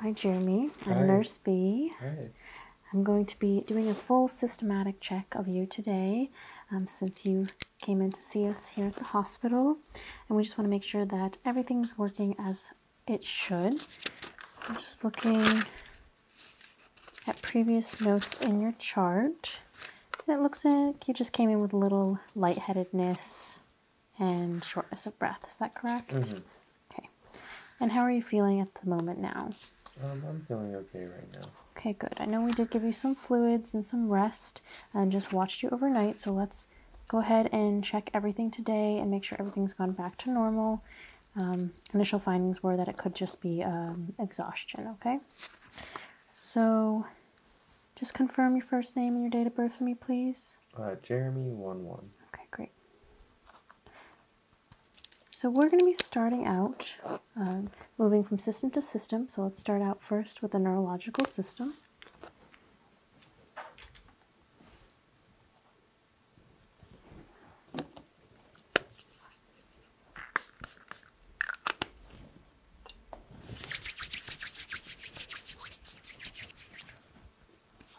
Hi, Jeremy. I'm Nurse B. am going to be doing a full systematic check of you today um, since you came in to see us here at the hospital. And we just want to make sure that everything's working as it should. I'm just looking at previous notes in your chart. It looks like you just came in with a little lightheadedness and shortness of breath. Is that correct? Mm-hmm. Okay. And how are you feeling at the moment now? Um, I'm feeling okay right now. Okay, good. I know we did give you some fluids and some rest and just watched you overnight. So let's go ahead and check everything today and make sure everything's gone back to normal. Um, initial findings were that it could just be um, exhaustion, okay? So just confirm your first name and your date of birth for me, please. Uh, Jeremy one one. Okay, great. So we're going to be starting out, um, moving from system to system. So let's start out first with the neurological system.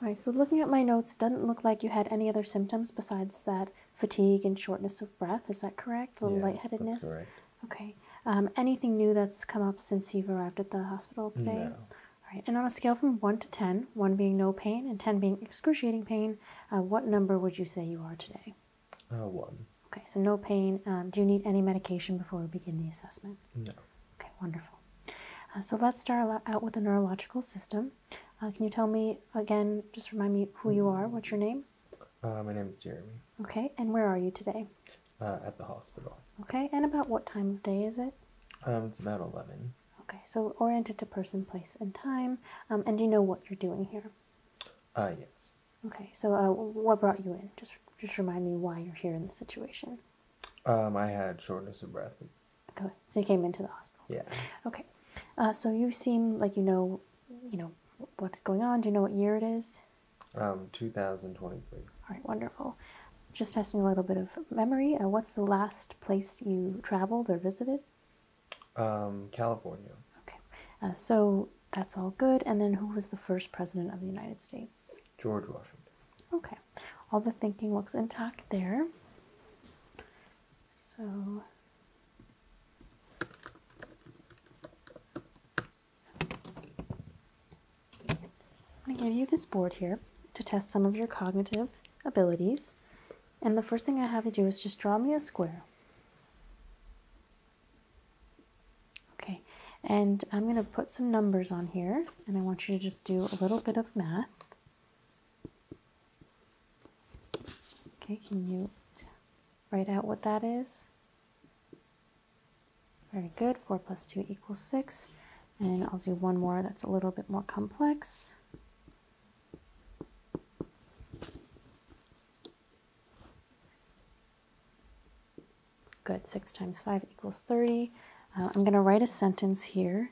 All right, so looking at my notes, it doesn't look like you had any other symptoms besides that fatigue and shortness of breath. Is that correct? A little lightheadedness? Okay. Um, anything new that's come up since you've arrived at the hospital today? All right. And on a scale from 1 to 10, 1 being no pain and 10 being excruciating pain, uh, what number would you say you are today? Uh, one. Okay, so no pain. Um, do you need any medication before we begin the assessment? No. Okay, wonderful. Uh, so let's start out with the neurological system. Uh, can you tell me again, just remind me who you are, what's your name? Uh, my name is Jeremy. Okay, and where are you today? Uh, at the hospital. Okay, and about what time of day is it? Um, it's about 11. Okay, so oriented to person, place, and time. Um, and you know what you're doing here? Uh, yes. Okay, so uh, what brought you in? Just just remind me why you're here in this situation. Um, I had shortness of breath. Okay, so you came into the hospital. Yeah. Okay, uh, so you seem like you know, you know what's going on. Do you know what year it is? Um, 2023. All right, wonderful. Just testing a little bit of memory. Uh, what's the last place you traveled or visited? Um, California. Okay, uh, so that's all good. And then who was the first president of the United States? George Washington. Okay, all the thinking looks intact there. So I'm going to give you this board here to test some of your cognitive abilities. And the first thing I have you do is just draw me a square. Okay, and I'm going to put some numbers on here, and I want you to just do a little bit of math. Okay, can you write out what that is? Very good. 4 plus 2 equals 6. And I'll do one more that's a little bit more complex. Good, 6 times 5 equals 30. Uh, I'm going to write a sentence here.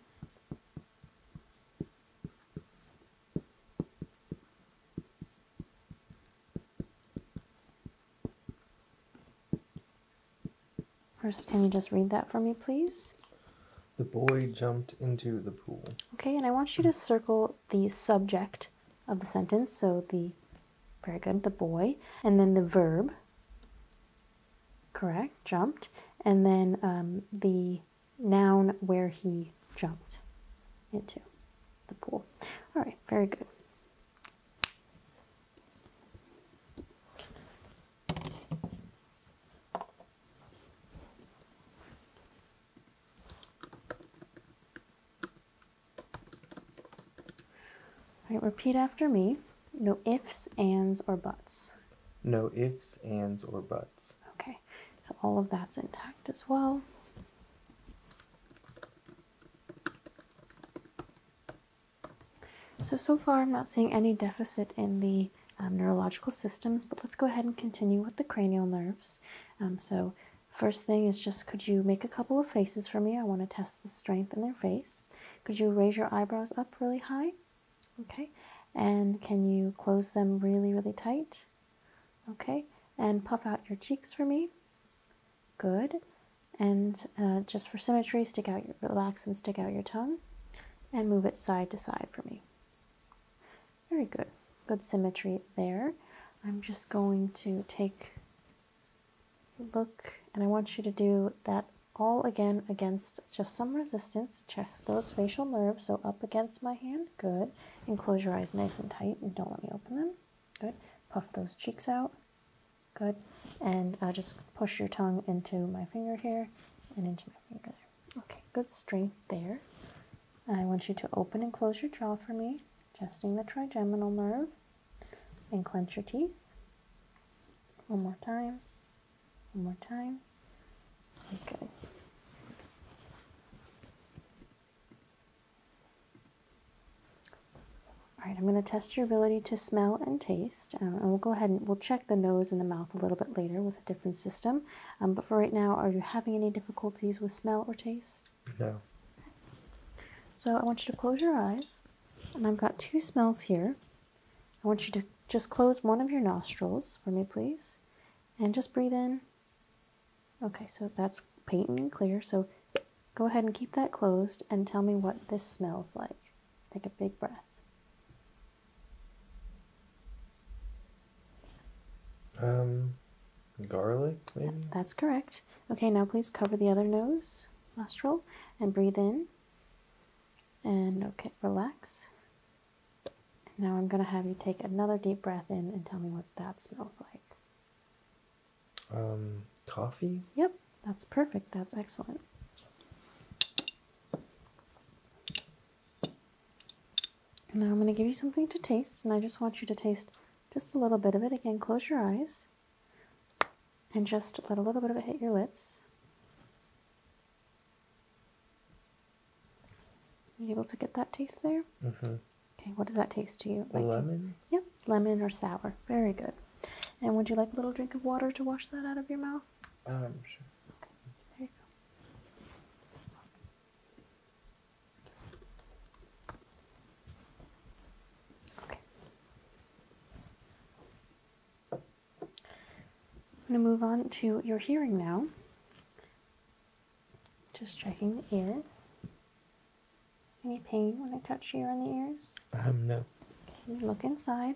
First, can you just read that for me, please? The boy jumped into the pool. Okay, and I want you to circle the subject of the sentence, so the very good. The boy. And then the verb. Correct. Jumped. And then um, the noun where he jumped into the pool. All right. Very good. All right, repeat after me. No ifs, ands, or buts. No ifs, ands, or buts. Okay, so all of that's intact as well. So, so far I'm not seeing any deficit in the um, neurological systems, but let's go ahead and continue with the cranial nerves. Um, so First thing is just could you make a couple of faces for me? I want to test the strength in their face. Could you raise your eyebrows up really high? Okay. And can you close them really, really tight? Okay. And puff out your cheeks for me. Good. And uh, just for symmetry, stick out your, relax and stick out your tongue and move it side to side for me. Very good. Good symmetry there. I'm just going to take look and I want you to do that all again against just some resistance Just those facial nerves so up against my hand good and close your eyes nice and tight and don't let me open them good puff those cheeks out good and uh, just push your tongue into my finger here and into my finger there okay good strength there I want you to open and close your jaw for me adjusting the trigeminal nerve, and clench your teeth. One more time, one more time. Good. All right, I'm going to test your ability to smell and taste, um, and we'll go ahead and we'll check the nose and the mouth a little bit later with a different system. Um, but for right now, are you having any difficulties with smell or taste? No. So I want you to close your eyes, and I've got two smells here. I want you to just close one of your nostrils for me, please, and just breathe in. Okay, so that's patent and clear. So go ahead and keep that closed and tell me what this smells like. Take a big breath. Um, garlic, maybe? That's correct. Okay, now please cover the other nose, nostril, and breathe in. And okay, relax. now I'm going to have you take another deep breath in and tell me what that smells like. Um, coffee? Yep, that's perfect. That's excellent. now I'm going to give you something to taste, and I just want you to taste just a little bit of it. Again, close your eyes and just let a little bit of it hit your lips. Are able to get that taste there? Mm-hmm. Okay, what does that taste to you? Like? Lemon? Yep, lemon or sour. Very good. And would you like a little drink of water to wash that out of your mouth? Um, sure. Okay, there you go. I'm going to move on to your hearing now. Just checking the ears. Any pain when I touch you on the ears? Um, no. Okay, look inside.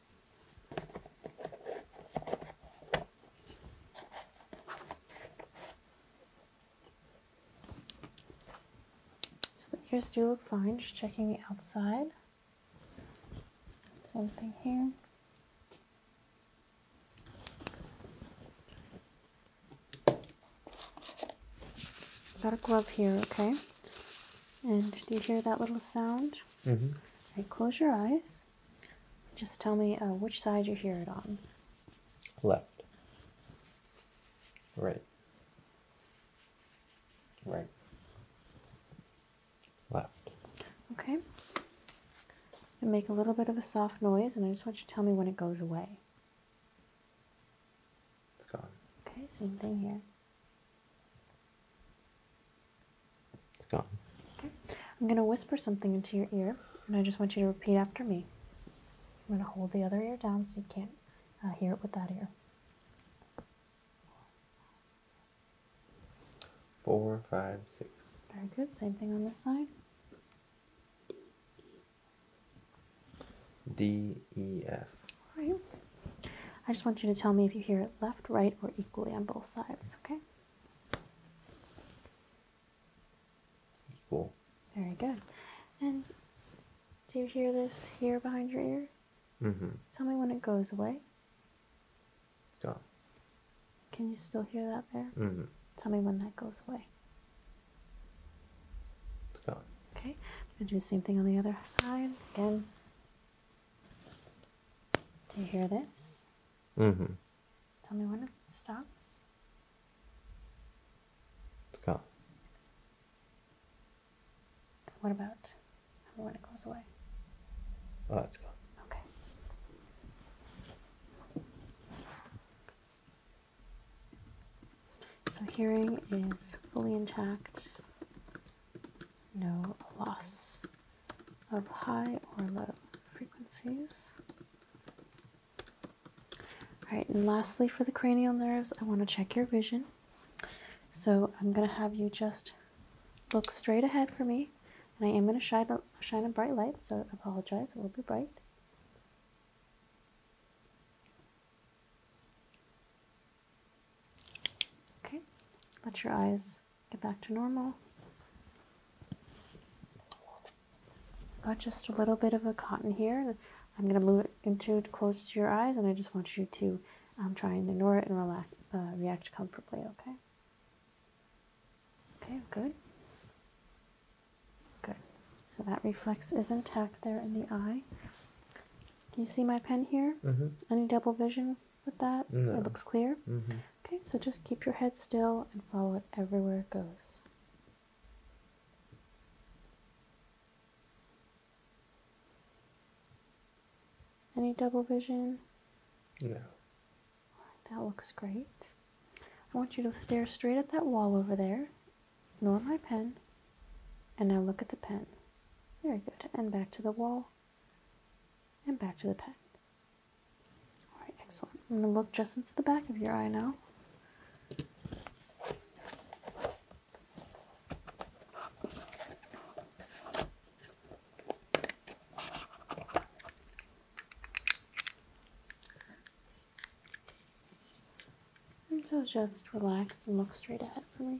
the ears do look fine, just checking the outside. Same thing here. Got a glove here, okay? And do you hear that little sound? Mm -hmm. right, close your eyes. Just tell me uh, which side you hear it on. Left. Right. Right. Left. Okay. And make a little bit of a soft noise, and I just want you to tell me when it goes away. It's gone. Okay, same thing here. It's gone. I'm going to whisper something into your ear, and I just want you to repeat after me. I'm going to hold the other ear down so you can't uh, hear it with that ear. Four, five, six. Very good. Same thing on this side. D E F. All right. I just want you to tell me if you hear it left, right, or equally on both sides, okay? Equal. Very good. And do you hear this here behind your ear? Mm-hmm. Tell me when it goes away. Gone. Can you still hear that there? Mm-hmm. Tell me when that goes away. It's gone. Okay. I'm going to do the same thing on the other side. Again, do you hear this? Mm-hmm. Tell me when it stops. It's gone. What about when it goes away? Oh, it's gone. Okay. So hearing is fully intact. No loss of high or low frequencies. All right, and lastly for the cranial nerves, I want to check your vision. So I'm going to have you just look straight ahead for me, and I am going to shine a, shine a bright light, so I apologize, it will be bright. Okay, let your eyes get back to normal. Got just a little bit of a cotton here. I'm going to move it into close to your eyes, and I just want you to um, try and ignore it and relax, uh, react comfortably, okay? Okay, good. Good. So that reflex is intact there in the eye. Can you see my pen here? Mm-hmm. Any double vision? with that? It looks clear? Mm-hmm. Okay, so just keep your head still and follow it everywhere it goes. Any double vision? No. that looks great. I want you to stare straight at that wall over there. not my pen. And now look at the pen. Very good. And back to the wall and back to the pen. All right, excellent. I'm going to look just into the back of your eye now. just relax and look straight ahead for me.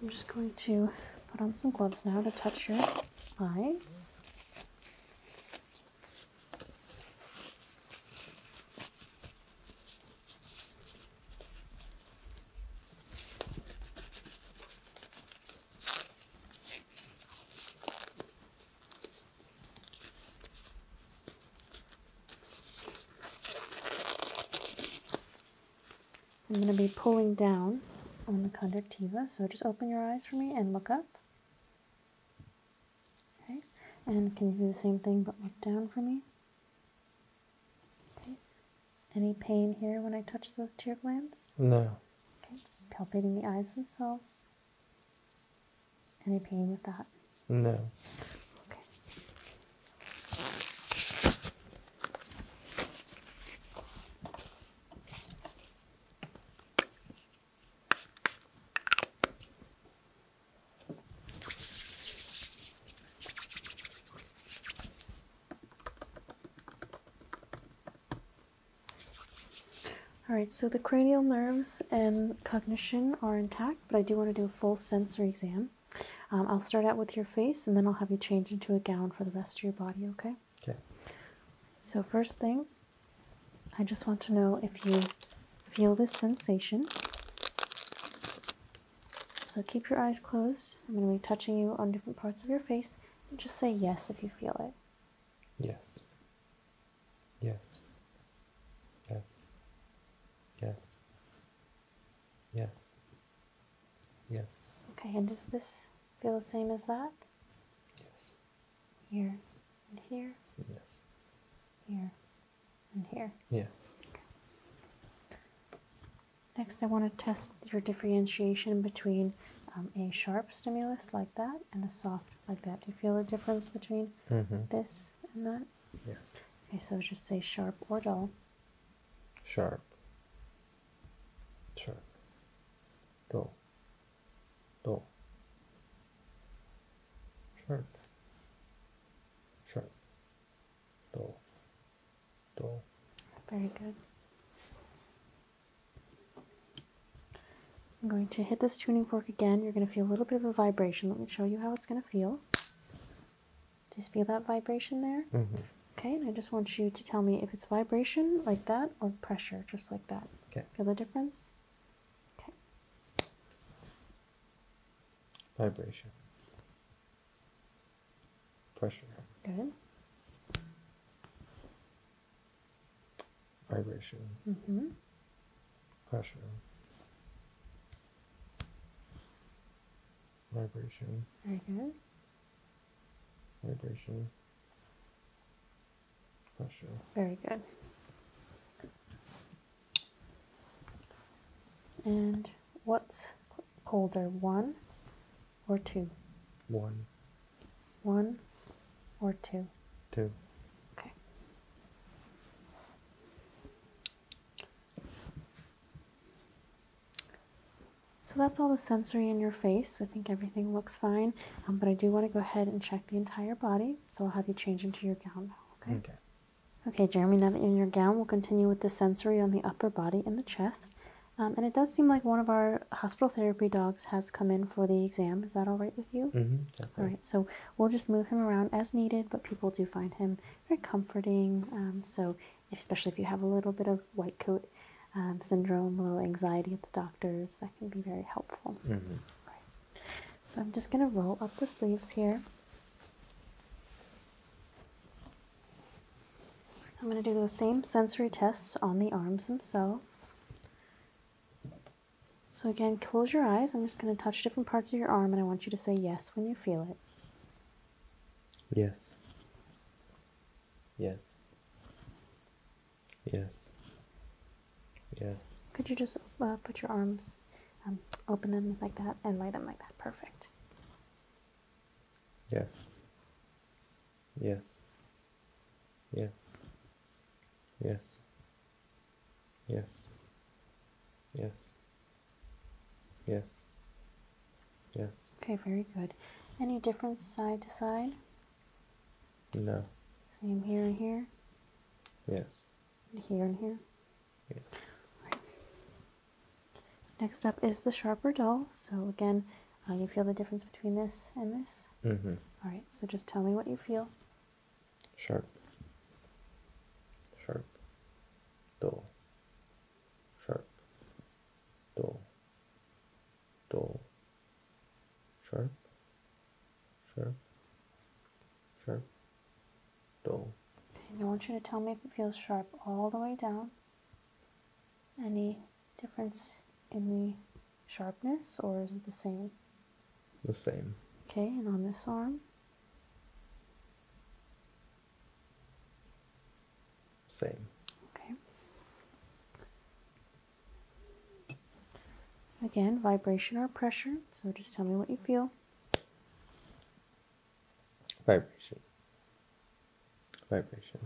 I'm just going to put on some gloves now to touch your eyes. I'm going to be pulling down on the conductiva, so just open your eyes for me and look up. Okay, and can you do the same thing but look down for me? Okay, any pain here when I touch those tear glands? No. Okay, just palpating the eyes themselves. Any pain with that? No. Okay. All right, so the cranial nerves and cognition are intact, but I do want to do a full sensory exam. Um, I'll start out with your face and then I'll have you change into a gown for the rest of your body, okay? Okay. So, first thing, I just want to know if you Feel this sensation. So keep your eyes closed. I'm going to be touching you on different parts of your face. And just say yes if you feel it. Yes. Yes. Yes. Yes. Yes. Okay, and does this feel the same as that? Yes. Here here? Yes. Here and here? Yes. Next, I want to test your differentiation between um, a sharp stimulus like that and a soft like that. Do you feel a difference between mm-hmm. this and that? Yes. Okay, so just say sharp or dull. Sharp. Sharp. Dull. Dull sharp, sharp, dull, dull. Very good. I'm going to hit this tuning fork again. You're going to feel a little bit of a vibration. Let me show you how it's going to feel. Just feel that vibration there? Mm-hmm. Okay, and I just want you to tell me if it's vibration like that or pressure just like that. Okay. Feel the difference? Okay vibration, pressure. Good. Vibration. Mm-hmm. Pressure. Vibration. Very good. Vibration. Pressure. Very good. And what's colder, one or two? One. One or two? Two. Okay. So that's all the sensory in your face. I think everything looks fine, um, but I do want to go ahead and check the entire body. So I'll have you change into your gown okay. Okay, Jeremy, now that you're in your gown, we'll continue with the sensory on the upper body and the chest. Um, and it does seem like one of our hospital therapy dogs has come in for the exam. Is that all right with you? Mm all right. So we'll just move him around as needed, but people do find him very comforting. Um, so, especially if you have a little bit of white coat um, syndrome, a little anxiety at the doctors, that can be very helpful. Mm-hmm. right. So I'm just going to roll up the sleeves here. So I'm going to do those same sensory tests on the arms themselves. So again, close your eyes. I'm just going to touch different parts of your arm and I want you to say yes when you feel it. Yes. Yes. Yes. Yes. Could you just uh, put your arms um, open them like that and lay them like that. Perfect. Yes. Yes. Yes. Yes. Yes. Yes. Yes. Okay, very good. Any difference side to side? No. Same here and here? Yes. Here and here? Yes. Right. Next up is the sharper dull. So again, you feel the difference between this and this? Mm-hmm. All right, so just tell me what you feel. Sharp. Sharp. Dull. Sharp. Dull. Dull. Sharp. Sharp, Sure. Dull. And I want you to tell me if it feels sharp all the way down. Any difference in the sharpness, or is it the same? The same. Okay, and on this arm? Same. Okay. Again, vibration or pressure, so just tell me what you feel vibration, vibration,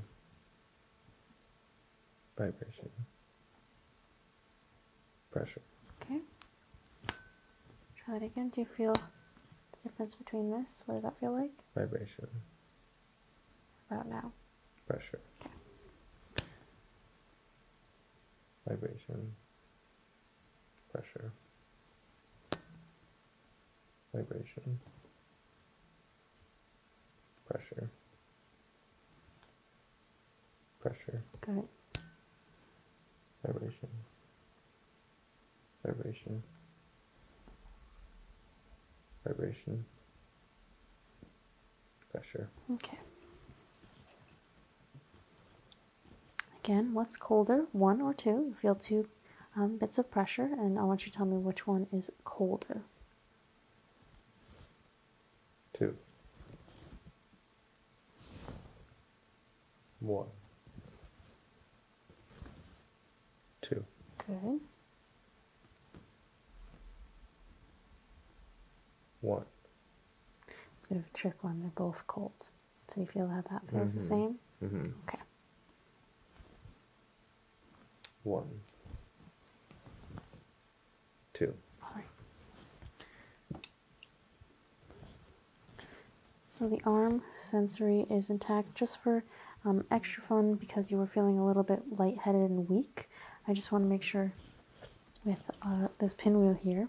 vibration, pressure. Okay. Try that again. Do you feel the difference between this? What does that feel like? Vibration. About now. Pressure. Okay. Vibration pressure, vibration, pressure, pressure. Got Vibration, vibration, vibration, pressure. Okay. Again, what's colder, one or two? You feel two um, bits of pressure, and I want you to tell me which one is colder. Two. One. Two. Good. One. It's a bit of a trick one. They're both cold. So you feel how that feels the mm-hmm. same? Mm-hmm. Okay. One. Two. All right. So the arm sensory is intact just for um, extra fun because you were feeling a little bit lightheaded and weak. I just want to make sure with uh, this pinwheel here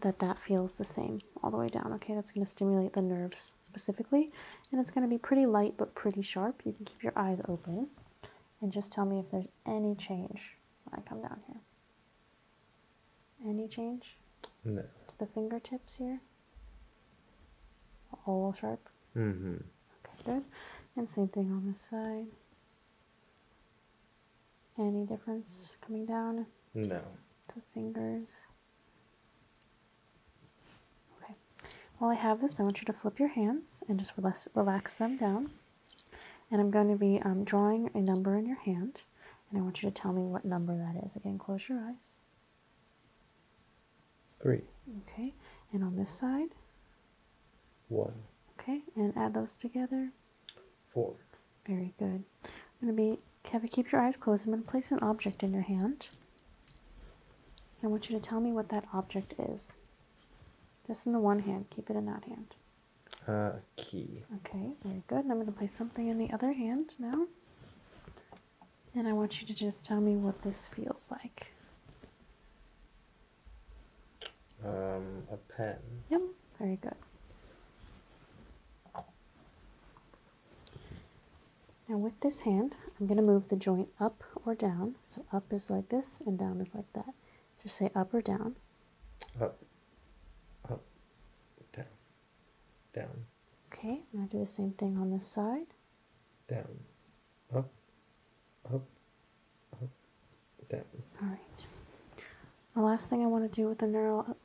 that that feels the same all the way down. Okay, that's going to stimulate the nerves specifically, and it's going to be pretty light but pretty sharp. You can keep your eyes open and just tell me if there's any change when I come down here. Any change? No. To the fingertips here? All sharp? Mm hmm. Okay, good. And same thing on this side. Any difference coming down? No. The fingers. Okay. While I have this, I want you to flip your hands and just relax, them down. And I'm going to be um, drawing a number in your hand. And I want you to tell me what number that is. Again, close your eyes. Three. Okay. And on this side? One. Okay. And add those together. Four. Very good. I'm going to be, have you keep your eyes closed. I'm going to place an object in your hand. I want you to tell me what that object is. Just in the one hand. Keep it in that hand. Uh, key. Okay, very good. And I'm going to place something in the other hand now. And I want you to just tell me what this feels like. Um, a pen. Yep, very good. Now, with this hand, I'm going to move the joint up or down. So, up is like this, and down is like that. Just say up or down. Up, up, down, down. Okay, I'm going to do the same thing on this side. Down, up, up, up, down. All right. The last thing I want to do with the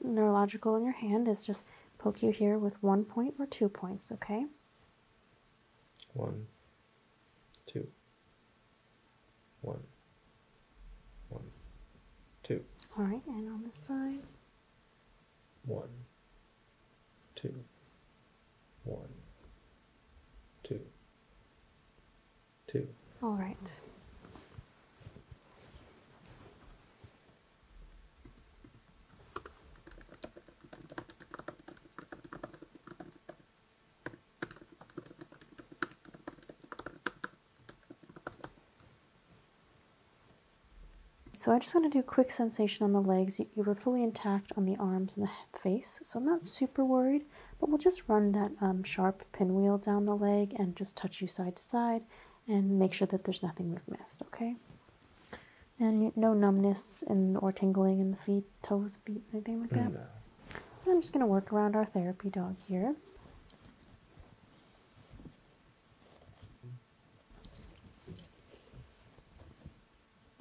neurological in your hand is just poke you here with one point or two points, okay? One, two, one, one, two. All right, and on this side. One, two, one, two, two. All right. So I just want to do a quick sensation on the legs. You, were fully intact on the arms and the face, so I'm not super worried, but we'll just run that um, sharp pinwheel down the leg and just touch you side to side and make sure that there's nothing we've missed, okay? And no numbness and or tingling in the feet, toes, feet, anything like that. I'm just going to work around our therapy dog here.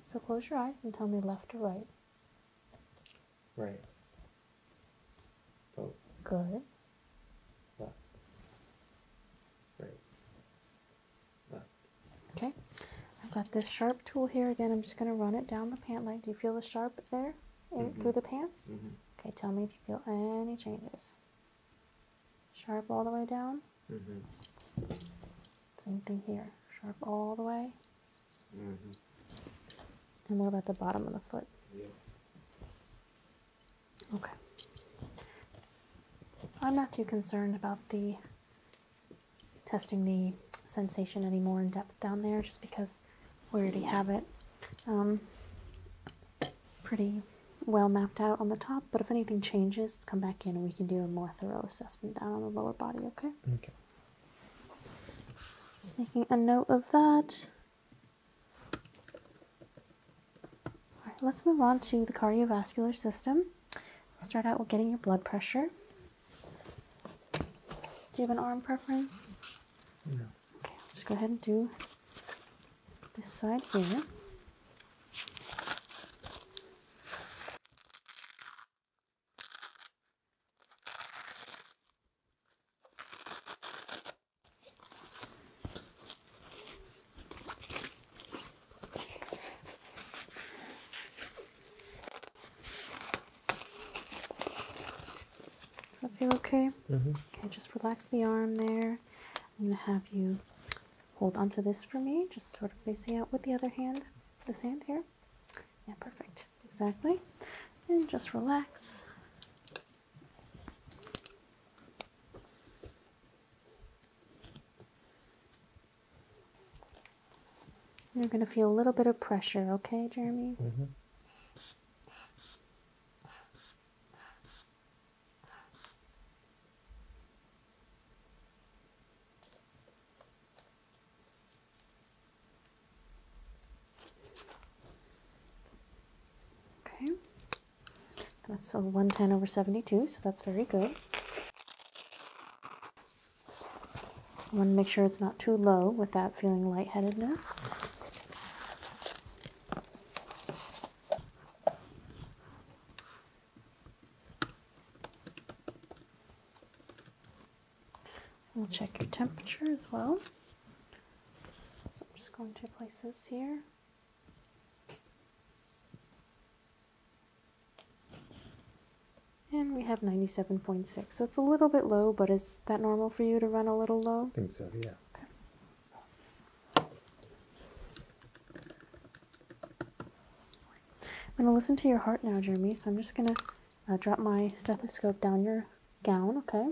So close your eyes and tell me left or right. Right. Vote. Good. Left. Right. Left. Okay. I've got this sharp tool here. Again, I'm just going to run it down the pant leg. Do you feel the sharp there mm-hmm. through the pants? Mm-hmm. Okay, tell me if you feel any changes. Sharp all the way down. Mm-hmm. Same thing here. Sharp all the way. And what about the bottom of the foot? Okay. I'm not too concerned about the testing the sensation any more in depth down there just because we already have it um, pretty well mapped out on the top. But if anything changes, come back in and we can do a more thorough assessment down on the lower body, okay? Okay. Just making a note of that. All right, let's move on to the cardiovascular system. Start out with getting your blood pressure. Do you have an arm preference? No. Okay, let's go ahead and do this side here. Does feel okay? Mm-hmm. Okay, just relax the arm there. I'm going to have you hold onto this for me, just sort of facing out with the other hand, this hand here. Yeah, perfect. Exactly. And just relax. You're going to feel a little bit of pressure, okay, Jeremy? Mm-hmm. Okay. That's a 110 over 72, so that's very good. I want to make sure it's not too low without feeling lightheadedness. We'll check your temperature as well. So I'm just going to place this here. And we have 97.6. So it's a little bit low, but is that normal for you to run a little low? I think so, yeah. Okay. I'm going to listen to your heart now, Jeremy. So I'm just going to uh, drop my stethoscope down your gown, okay?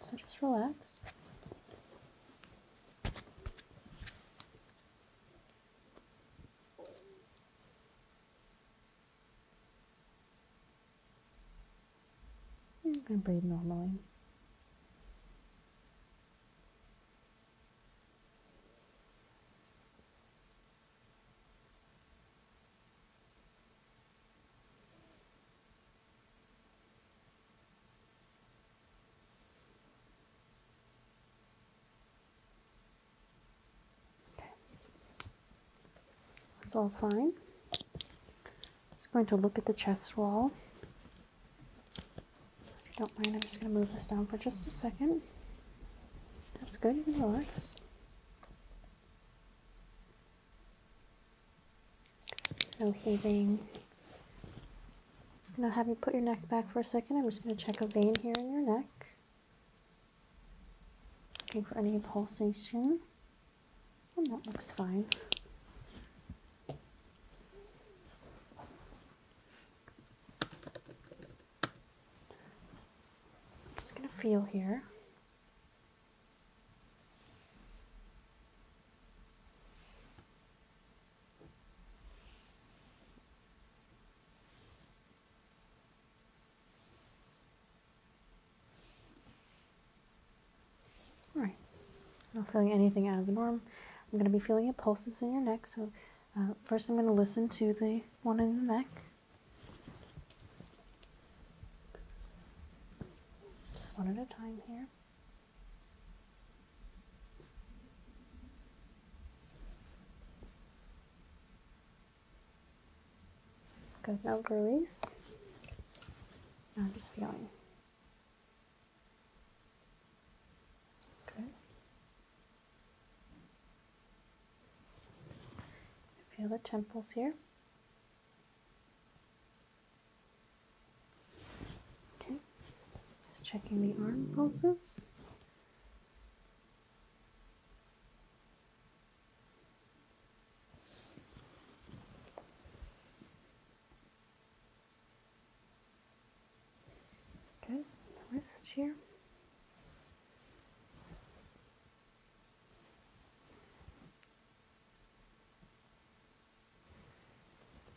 So just relax. I'm going to breathe normally. Okay, that's all fine. just going to look at the chest wall. don't mind, I'm just going to move this down for just a second. That's good, you can relax. No heaving. Just gonna have you put your neck back for a second. I'm just gonna check a vein here in your neck. Looking for any pulsation. And that looks fine. just gonna feel here. All right, not feeling anything out of the norm. I'm going to be feeling your pulses in your neck. So, uh, first, I'm going to listen to the one in the neck. Just one at a time here. Good, no growies. Now I'm just feeling. Good. Feel the temples here. Okay, just checking the arm pulses. Okay, wrist here.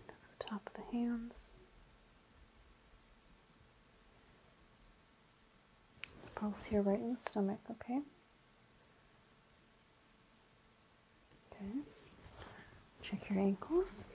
That's the top of the hands. Let's pulse here right in the stomach, okay? Okay. Check your ankles.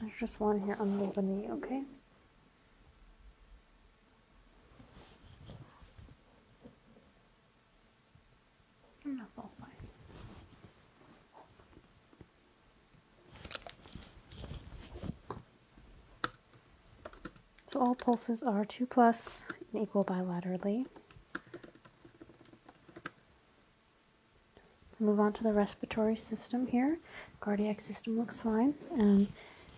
There's just one here under the knee, okay? And that's all fine. So all pulses are 2 plus and equal bilaterally. Move on to the respiratory system here. Cardiac system looks fine. Um,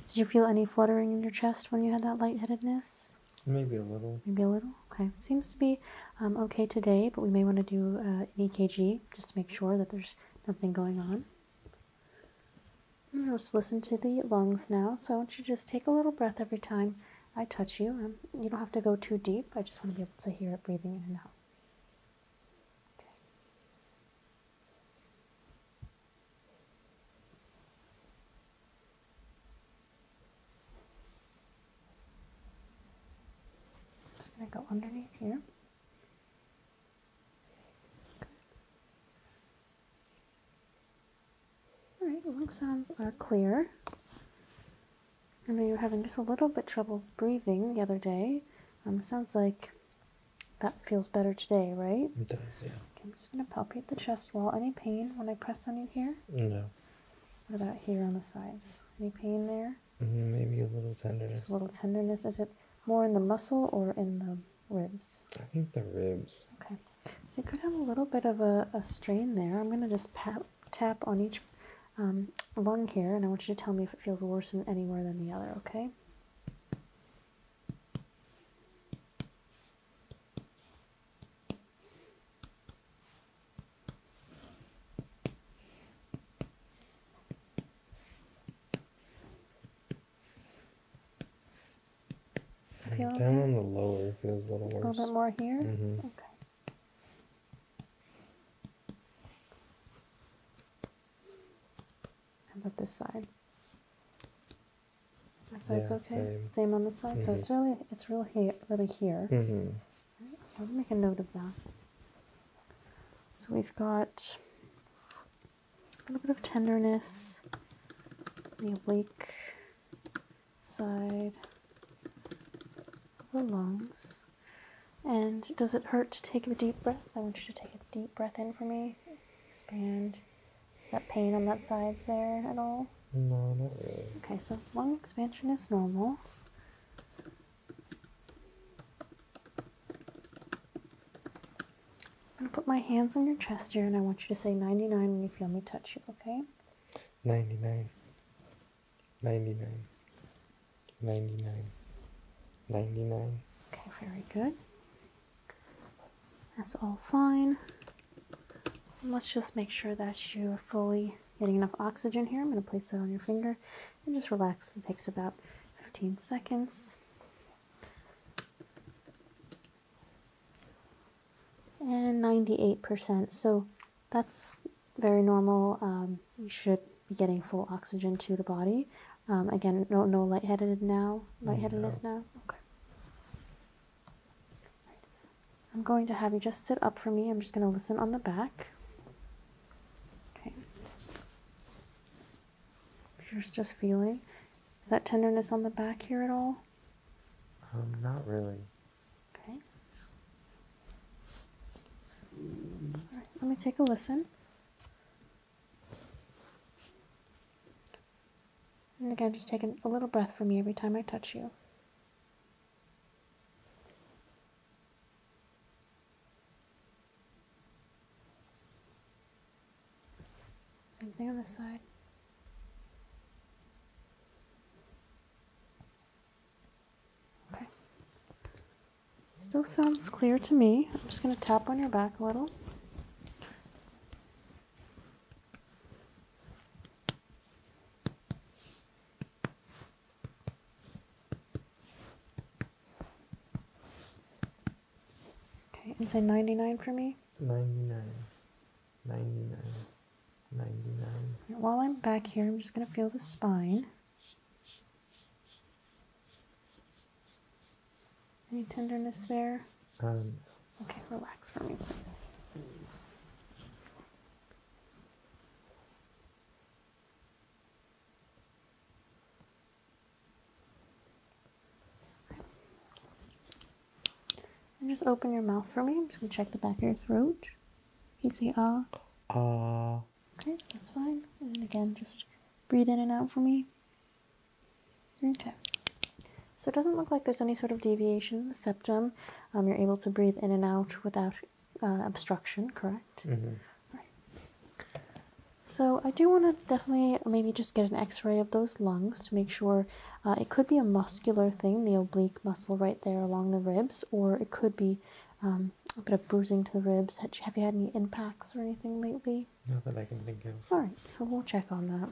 did you feel any fluttering in your chest when you had that lightheadedness? Maybe a little. Maybe a little? Okay, seems to be um, okay today, but we may want to do uh, an EKG just to make sure that there's nothing going on. Mm, let's listen to the lungs now. So I want you to just take a little breath every time I touch you. Um, you don't have to go too deep. I just want to be able to hear it breathing in and out. Okay. I'm just going to go underneath here. Good. All right, lung sounds are clear. I know you were having just a little bit trouble breathing the other day. Um, sounds like that feels better today, right? It does, yeah. Okay, I'm just going to palpate the chest wall. Any pain when I press on you here? No. What about here on the sides? Any pain there? Mm-hmm, maybe a little tenderness. a little tenderness. Is it more in the muscle or in the ribs? I think the ribs. Okay. So you could have a little bit of a, a strain there. I'm going to just pat, tap on each um, lung here, and I want you to tell me if it feels worse in anywhere than the other, okay? Feel Down on the lower feels a little worse. A little bit more here? Mm -hmm. Okay. about this side? That side's okay. Same. on this side. So mm-hmm. it's really, it's really, really here. -hmm right, I'll make a note of that. So we've got a little bit of tenderness, the oblique side of the lungs. And does it hurt to take a deep breath? I want you to take a deep breath in for me. Expand. Is that pain on that side there at all? No, not really. Okay, so lung expansion is normal. I'm gonna put my hands on your chest here and I want you to say 99 when you feel me touch you, okay? 99. 99. 99. 99. Okay, very good. That's all fine. let's just make sure that you are fully getting enough oxygen here. I'm going to place that on your finger and just relax. It takes about 15 seconds. And 98%, so that's very normal. Um, you should be getting full oxygen to the body. Um, again, no, no lightheaded now, lightheadedness no. now. Okay. I'm going to have you just sit up for me. I'm just going to listen on the back. Okay. If just feeling, is that tenderness on the back here at all? Um, not really. Okay. All right, let me take a listen. And again, just take a little breath for me every time I touch you. Same thing on this side. Okay. Still sounds clear to me. I'm just going to tap on your back a little. Okay, and say 99 for me. 99. 99. 99. Right, while I'm back here, I'm just going to feel the spine. Any tenderness there? Um, okay, relax for me, please. And just open your mouth for me. I'm just gonna check the back of your throat. You say ah. Ah. Okay, that's fine. And again, just breathe in and out for me. Okay. So it doesn't look like there's any sort of deviation the septum. Um, you're able to breathe in and out without uh, obstruction, correct? Mm-hmm. Right. So I do want to definitely maybe just get an X-ray of those lungs to make sure uh, it could be a muscular thing, the oblique muscle right there along the ribs, or it could be um, a bit of bruising to the ribs. Have you had any impacts or anything lately? Not that I can think of. All right, so we'll check on that.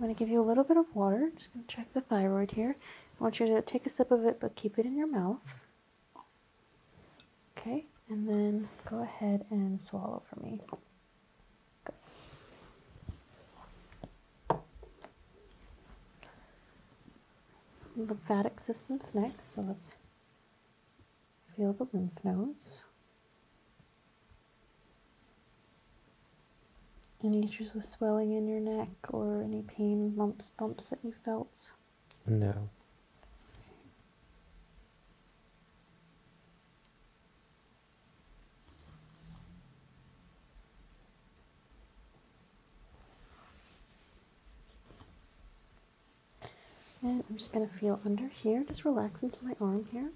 I'm going to give you a little bit of water. Just going to check the thyroid here. I want you to take a sip of it, but keep it in your mouth. Okay, and then go ahead and swallow for me. Lymphatic system's next, so let's feel the lymph nodes. Any issues with swelling in your neck or any pain, lumps, bumps that you felt? No. And I'm just going to feel under here. Just relax into my arm here.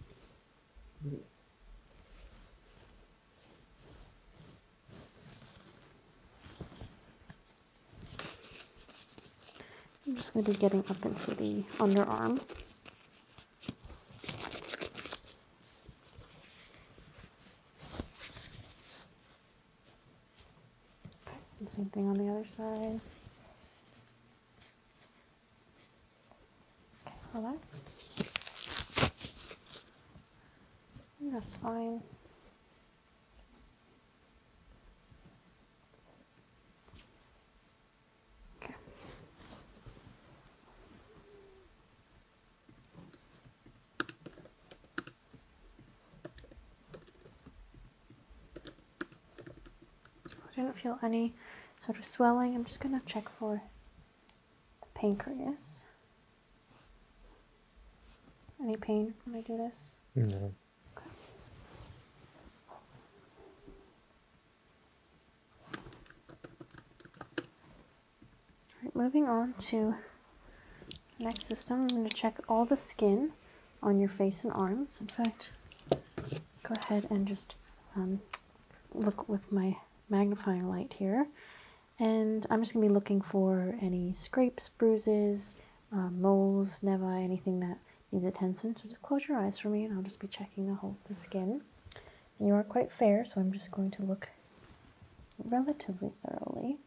I'm just going to be getting up into the underarm. same thing on the other side relax. That's fine. Okay. I didn't feel any sort of swelling. I'm just going to check for the pancreas. Any pain when I do this? No. All right, moving on to next system, I'm going to check all the skin on your face and arms. In fact, go ahead and just um, look with my magnifying light here and I'm just going to be looking for any scrapes, bruises, um, moles, nevi, anything that needs attention. So just close your eyes for me and I'll just be checking the whole the skin. you are quite fair, so I'm just going to look relatively thoroughly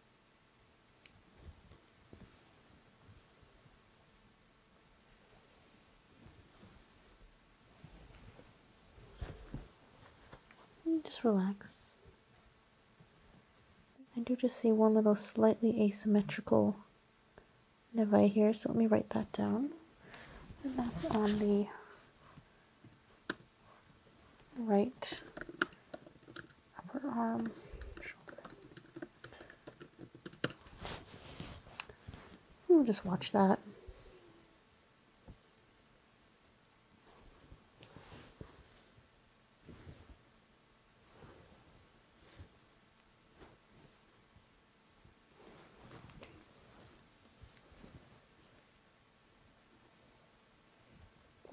just relax. I do just see one little slightly asymmetrical nevi here, so let me write that down. that's on the right upper arm, We'll just watch that.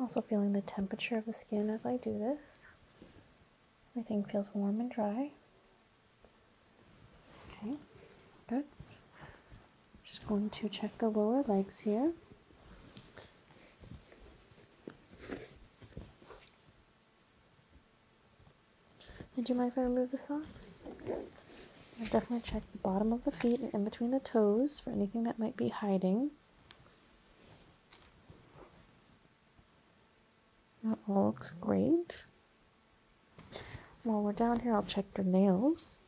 I'm also feeling the temperature of the skin as I do this. Everything feels warm and dry. Okay, good. Just going to check the lower legs here. Would you mind if I remove the socks? I'll definitely check the bottom of the feet and in between the toes for anything that might be hiding. That all looks great. While we're down here, I'll check your nails.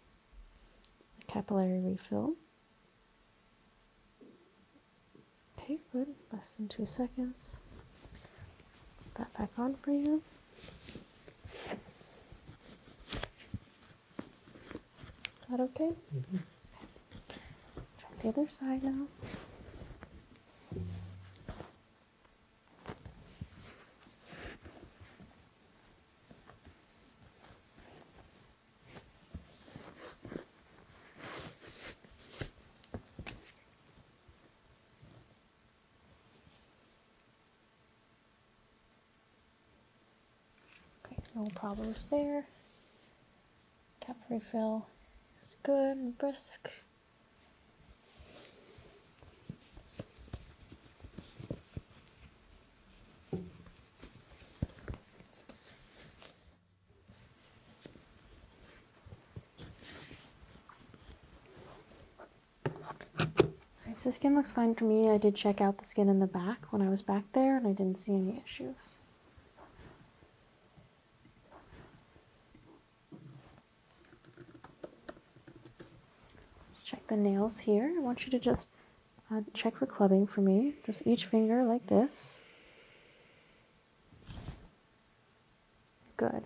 Capillary refill. Okay, good. Less than two seconds. that back on for you. Is that okay? Mm the other side now. Okay, no problems there. Cap refill is good and brisk so the skin looks fine for me. I did check out the skin in the back when I was back there and I didn't see any issues let check the nails here. I want you to just uh, check for clubbing for me. Just each finger like this. Good.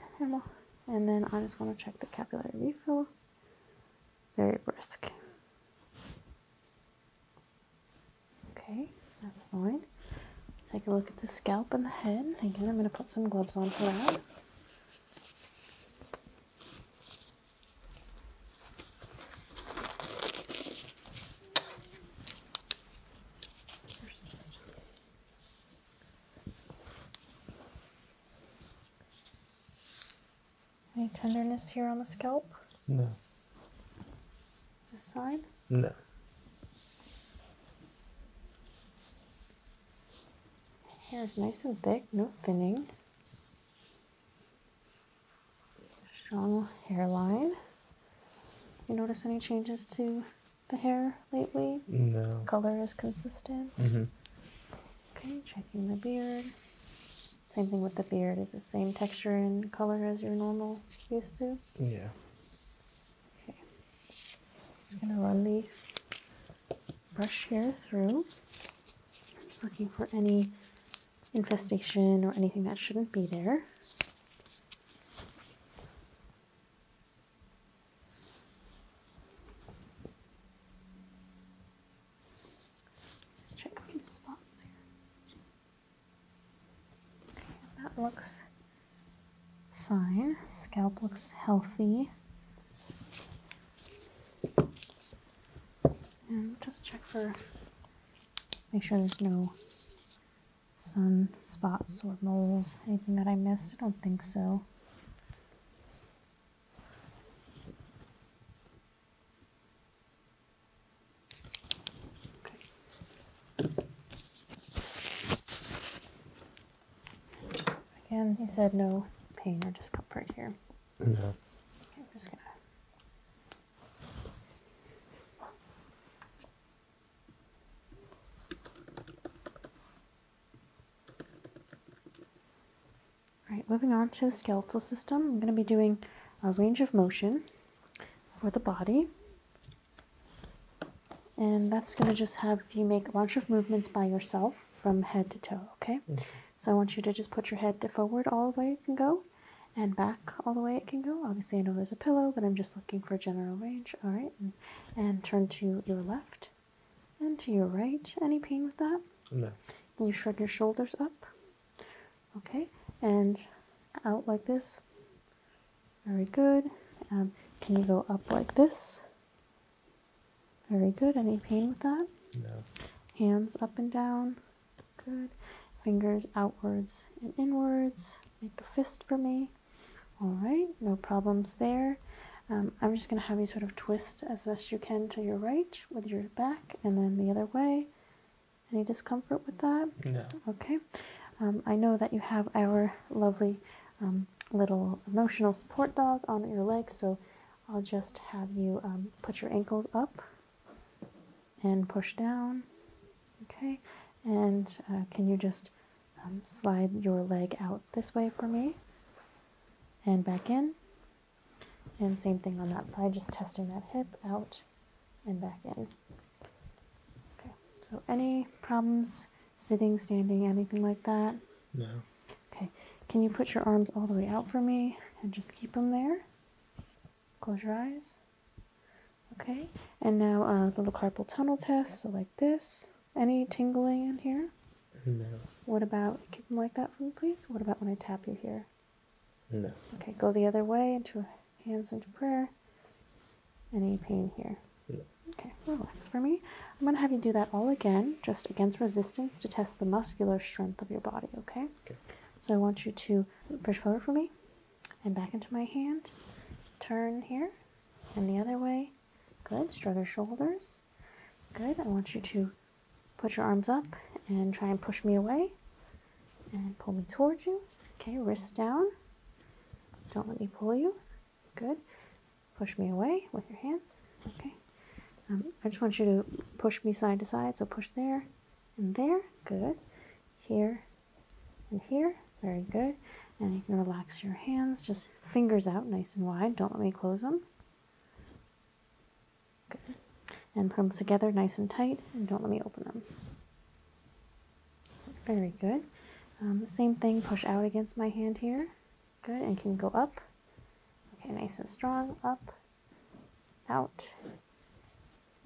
and then I just want to check the capillary refill. Very brisk. Okay, that's fine. Take a look at the scalp and the head. Again, I'm going to put some gloves on for that. Any tenderness here on the scalp? No. This side? No. Hair is nice and thick, no thinning. Strong hairline. You notice any changes to the hair lately? No. Color is consistent. Mm-hmm. Okay, checking the beard. Same thing with the beard. Is the same texture and color as your normal used to? Yeah. Okay. Just gonna run the brush hair through. I'm just looking for any infestation or anything that shouldn't be there. Just check a few spots here. that looks fine. Scalp looks healthy just check for, make sure there's no sun spots or moles, anything that I missed. I don't think so. Okay. So again, you said no pain or discomfort here. Yeah. right, moving on to the skeletal system, I'm going to be doing a range of motion for the body. And that's going to just have you make a bunch of movements by yourself from head to toe, okay? Mm-hmm. So I want you to just put your head forward all the way it can go and back all the way it can go. Obviously, I know there's a pillow, but I'm just looking for general range, all right? And, turn to your left and to your right. Any pain with that? No. Can you shrug your shoulders up? Okay, and out like this. Very good. Um, can you go up like this? Very good. Any pain with that? No. Hands up and down. Good. Fingers outwards and inwards. Make a fist for me. All right. No problems there. Um, I'm just going to have you sort of twist as best you can to your right with your back and then the other way. Any discomfort with that? No. Okay. Um, I know that you have our lovely um, little emotional support dog on your leg, so I'll just have you um, put your ankles up and push down. Okay, and uh, can you just um, slide your leg out this way for me and back in? And same thing on that side, just testing that hip out and back in. Okay, so any problems sitting, standing, anything like that? No. Okay, can you put your arms all the way out for me and just keep them there? Close your eyes. Okay, and now a uh, little carpal tunnel test, so like this. Any tingling in here? No. What about, keep them like that for me, please? What about when I tap you here? No. Okay, go the other way into hands into prayer. Any pain here? No. Okay, relax for me. I'm going to have you do that all again just against resistance to test the muscular strength of your body, okay? So I want you to push forward for me and back into my hand. Turn here and the other way. Good. Struggle shoulders. Good. I want you to put your arms up and try and push me away and pull me towards you. Okay, wrists down. Don't let me pull you. Good. Push me away with your hands. Okay. Um, I just want you to push me side to side, so push there and there, good. Here and here, very good. And you can relax your hands, just fingers out nice and wide, don't let me close them. Good. And put them together nice and tight, and don't let me open them. Very good. Um, same thing, push out against my hand here. Good, and can go up. Okay, nice and strong, up out,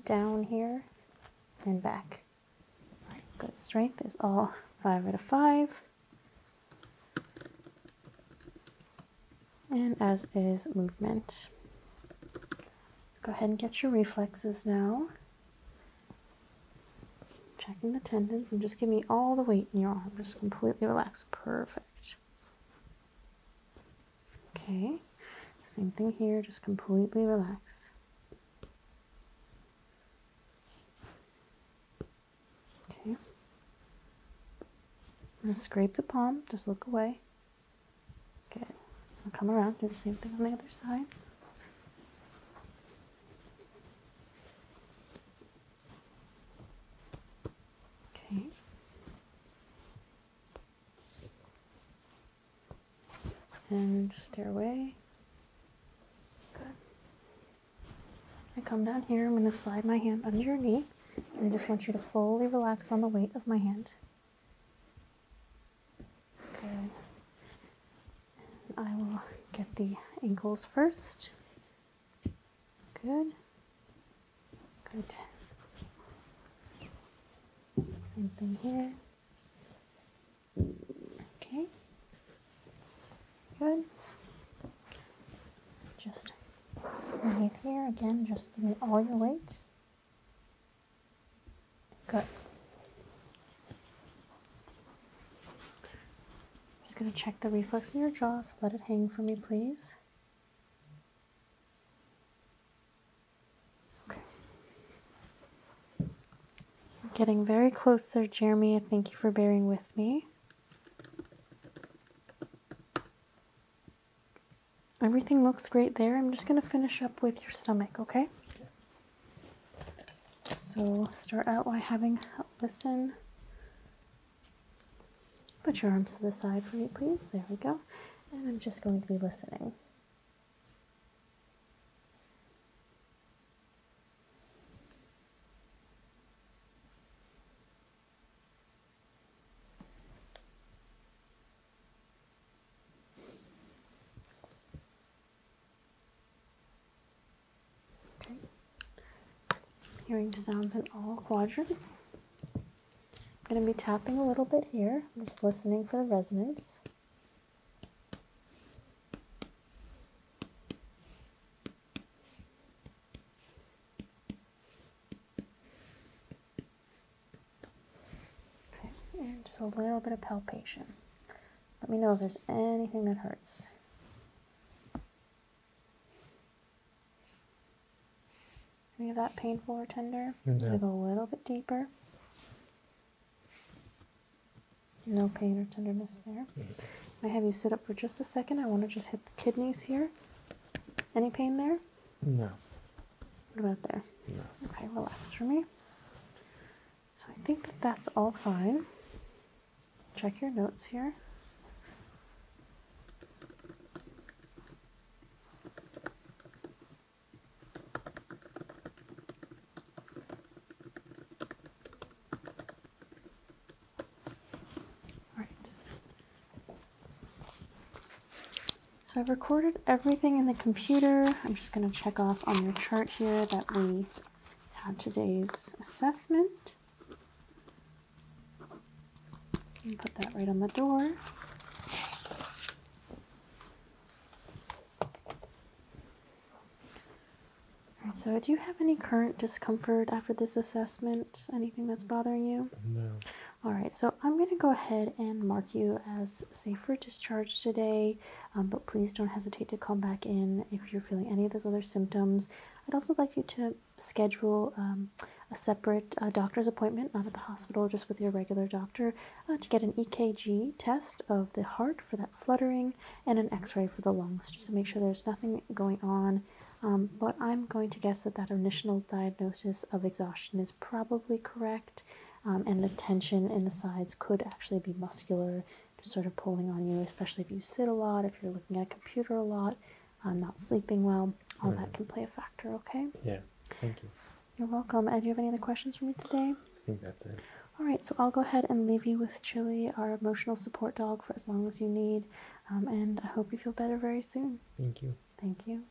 down here, and back. good strength is all five out of five. And as is movement. go ahead and get your reflexes now. Checking the tendons and just give me all the weight in your arm. Just completely relax. Perfect. Okay, same thing here, just completely relax. Okay, gonna scrape the palm, just look away. Good. I'll come around, do the same thing on the other side. Okay. And stairway. Good. I come down here, I'm going to slide my hand under your knee, and I just want you to fully relax on the weight of my hand. Good. I will get the ankles first. Good. Good. Same thing here. Okay. Good. Just underneath here again, just give it all your weight. Good. just going to check the reflex in your jaw, so let it hang for me, please. Okay. getting very close there, Jeremy. Thank you for bearing with me. Everything looks great there. I'm just going to finish up with your stomach, okay? So start out by having a listen Put your arms to the side for me, please. There we go. And I'm just going to be listening. Hearing sounds in all quadrants. I'm going to be tapping a little bit here. just listening for the resonance. Okay, and just a little bit of palpation. Let me know if there's anything that hurts. Any of that painful or tender? No. Go a little bit deeper. No pain or tenderness there. Mm-hmm. I have you sit up for just a second. I want to just hit the kidneys here. Any pain there? No. What about there? No. Okay, relax for me. So I think that that's all fine. Check your notes here. All right. So I've recorded everything in the computer. I'm just going to check off on your chart here that we had today's assessment put that right on the door. Alright, so do you have any current discomfort after this assessment? Anything that's bothering you? No. Alright, so I'm going to go ahead and mark you as safe for discharge today, um, but please don't hesitate to come back in if you're feeling any of those other symptoms. I'd also like you to schedule um, a separate uh, doctor's appointment, not at the hospital, just with your regular doctor, uh, to get an EKG test of the heart for that fluttering and an x ray for the lungs, just to make sure there's nothing going on. Um, but I'm going to guess that that initial diagnosis of exhaustion is probably correct, um, and the tension in the sides could actually be muscular, just sort of pulling on you, especially if you sit a lot, if you're looking at a computer a lot. I'm not sleeping well, All that mm-hmm. can play a factor, okay? Yeah, thank you. You're welcome. And do you have any other questions for me today? I think that's it. All right, so I'll go ahead and leave you with Chili, our emotional support dog, for as long as you need. Um, and I hope you feel better very soon. Thank you. Thank you.